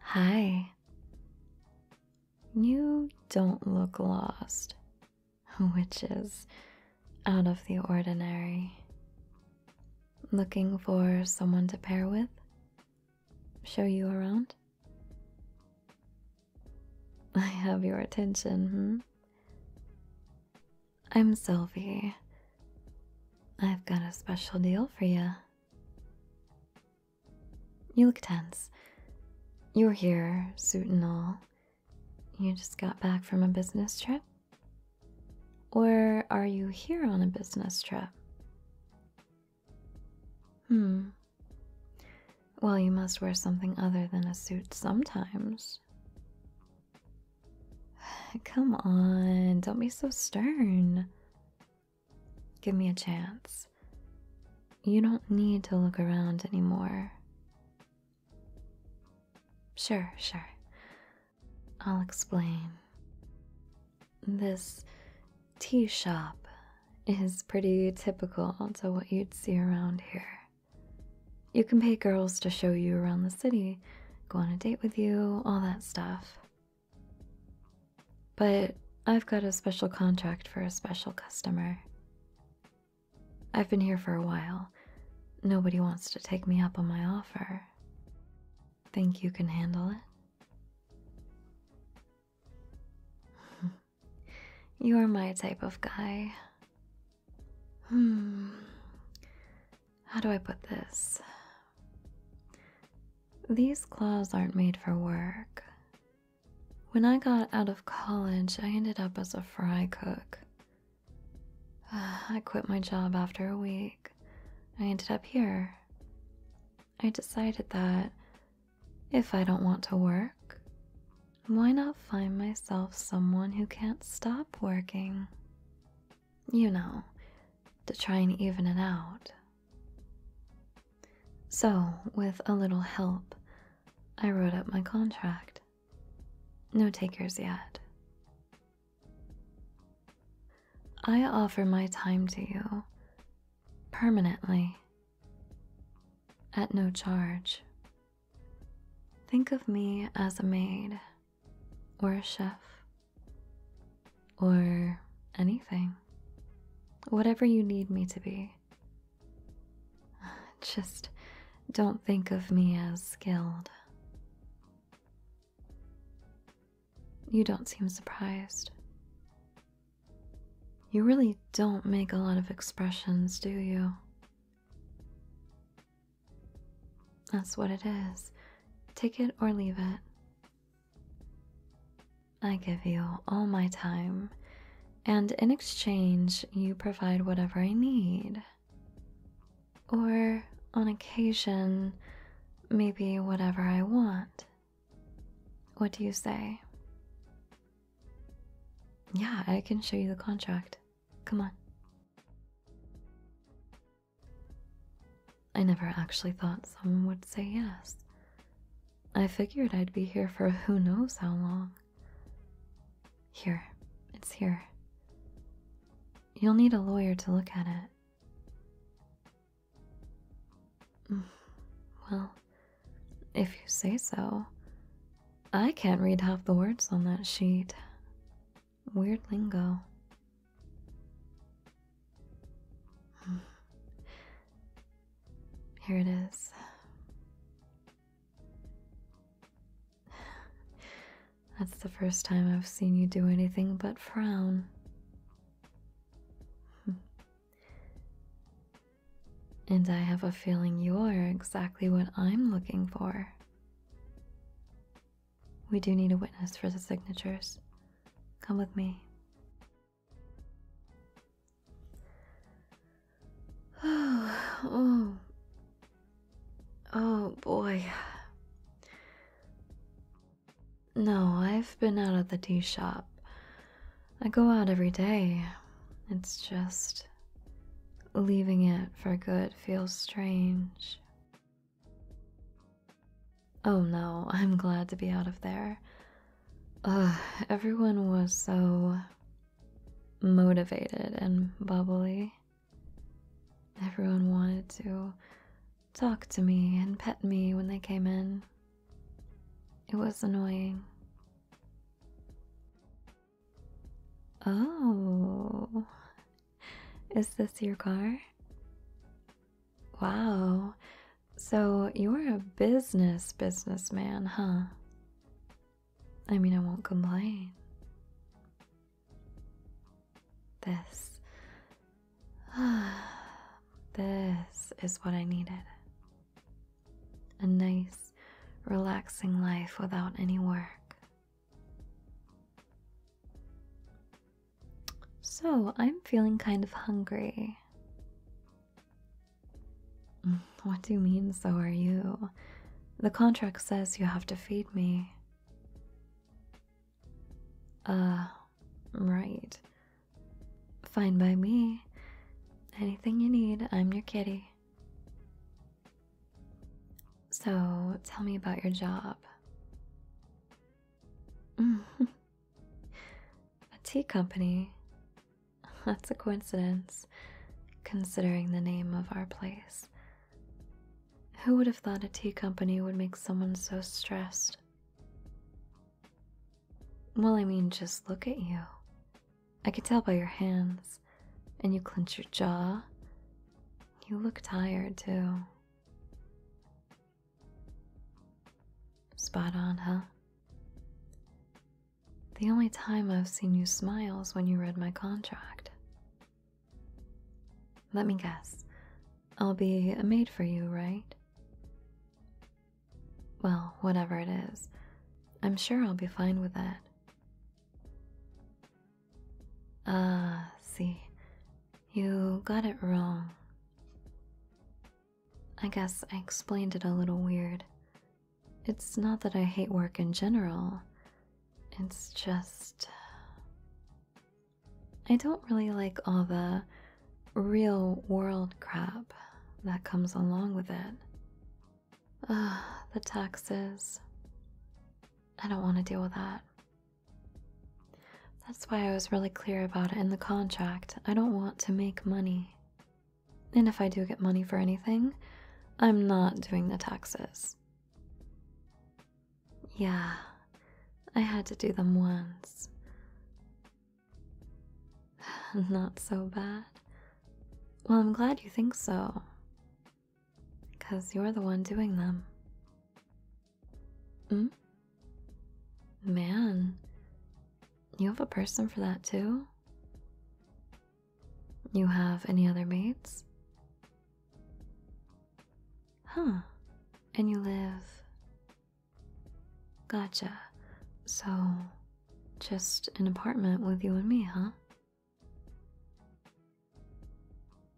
Hi. You don't look lost, which is out of the ordinary. Looking for someone to pair with? Show you around? I have your attention, hmm? I'm Sylvie, I've got a special deal for you. You look tense. You're here, suit and all. You just got back from a business trip? Or are you here on a business trip? Hmm. Well, you must wear something other than a suit sometimes. Come on, don't be so stern. Give me a chance. You don't need to look around anymore. Sure, sure. I'll explain. This tea shop is pretty typical to what you'd see around here. You can pay girls to show you around the city, go on a date with you, all that stuff. But I've got a special contract for a special customer. I've been here for a while. Nobody wants to take me up on my offer. Think you can handle it? You're my type of guy. Hmm. How do I put this? These claws aren't made for work. When I got out of college, I ended up as a fry cook. I quit my job after a week. I ended up here. I decided that if I don't want to work, why not find myself someone who can't stop working? You know, to try and even it out. So, with a little help, I wrote up my contract. No takers yet. I offer my time to you permanently at no charge. Think of me as a maid or a chef or anything. Whatever you need me to be. Just don't think of me as skilled. You don't seem surprised. You really don't make a lot of expressions, do you? That's what it is. Take it or leave it. I give you all my time, and in exchange, you provide whatever I need. Or, on occasion, maybe whatever I want. What do you say? Yeah, I can show you the contract. Come on. I never actually thought someone would say yes. I figured I'd be here for who knows how long. Here, it's here. You'll need a lawyer to look at it. Mm, well, if you say so. I can't read half the words on that sheet. Weird lingo. Here it is. That's the first time I've seen you do anything but frown. And I have a feeling you're exactly what I'm looking for. We do need a witness for the signatures. Come with me. Oh, oh, oh boy. No, I've been out of the tea shop. I go out every day. It's just leaving it for good feels strange. Oh no, I'm glad to be out of there. everyone was so motivated and bubbly. Everyone wanted to talk to me and pet me when they came in. It was annoying. Oh, Is this your car? Wow. So you're a business businessman, huh? I mean, I won't complain. This. this is what I needed. A nice, relaxing life without any work. So, I'm feeling kind of hungry. What do you mean, so are you? The contract says you have to feed me. Uh, right. Fine by me. Anything you need, I'm your kitty. So, tell me about your job. a tea company. That's a coincidence, considering the name of our place. Who would have thought a tea company would make someone so stressed? Well, I mean, just look at you. I could tell by your hands, and you clench your jaw. You look tired, too. Spot on, huh? The only time I've seen you smile is when you read my contract. Let me guess. I'll be a maid for you, right? Well, whatever it is, I'm sure I'll be fine with that. Ah, see, you got it wrong. I guess I explained it a little weird. It's not that I hate work in general, it's just. I don't really like all the real world crap that comes along with it. the taxes. I don't want to deal with that. That's why I was really clear about it in the contract. I don't want to make money. And if I do get money for anything, I'm not doing the taxes. Yeah, I had to do them once. not so bad. Well, I'm glad you think so. Because you're the one doing them. Hmm? Man, you have a person for that too? You have any other mates? Huh, and you live. Gotcha. So, just an apartment with you and me, huh?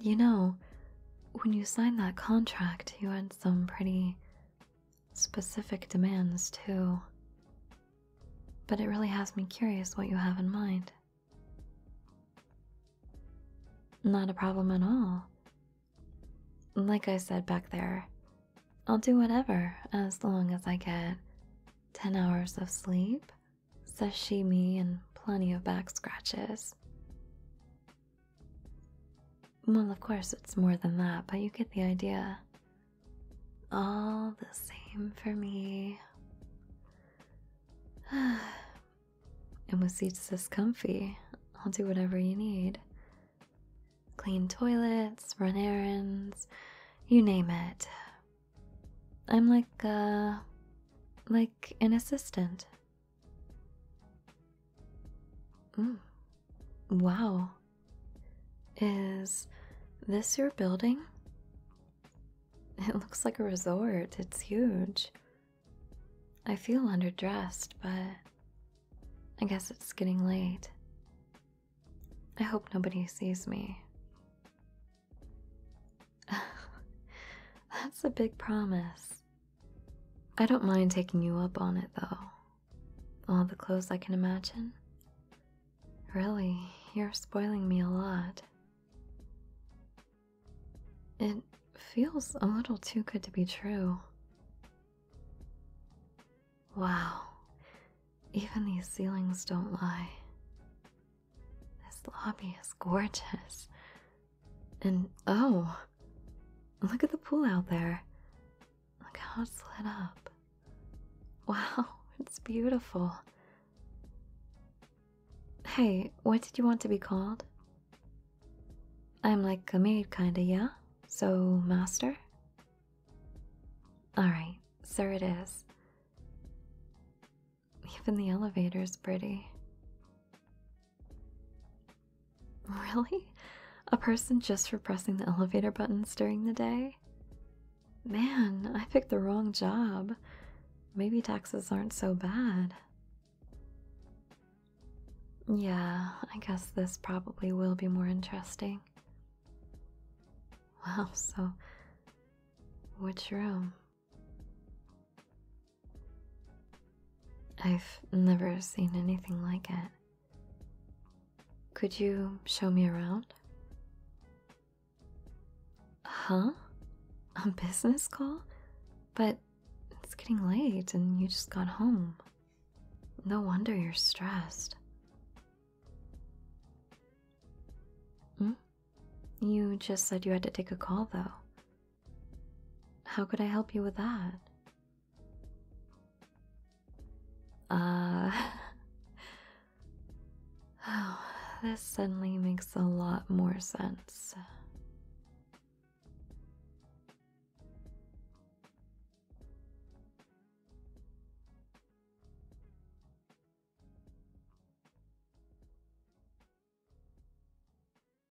You know, when you signed that contract, you had some pretty specific demands, too. But it really has me curious what you have in mind. Not a problem at all. Like I said back there, I'll do whatever as long as I get 10 hours of sleep, sashimi, and plenty of back scratches. Well, of course, it's more than that, but you get the idea. All the same for me. and with seats this comfy, I'll do whatever you need. Clean toilets, run errands, you name it. I'm like, a, uh, like an assistant Mm. Wow. Is this your building? It looks like a resort. It's huge. I feel underdressed, but I guess it's getting late. I hope nobody sees me. That's a big promise. I don't mind taking you up on it though. All the clothes I can imagine? Really, you're spoiling me a lot. It feels a little too good to be true. Wow, even these ceilings don't lie. This lobby is gorgeous. And oh, look at the pool out there. Look how it's lit up. Wow, it's beautiful. Hey, what did you want to be called? I'm like a maid, kinda, yeah? So, master? Alright, sir, it is. Even the elevator's pretty. Really? A person just for pressing the elevator buttons during the day? Man, I picked the wrong job. Maybe taxes aren't so bad. Yeah, I guess this probably will be more interesting. Wow, so which room? I've never seen anything like it. Could you show me around? Huh? A business call? But it's getting late and you just got home. No wonder you're stressed. Hmm? You just said you had to take a call, though. How could I help you with that? Uh. Oh, this suddenly makes a lot more sense.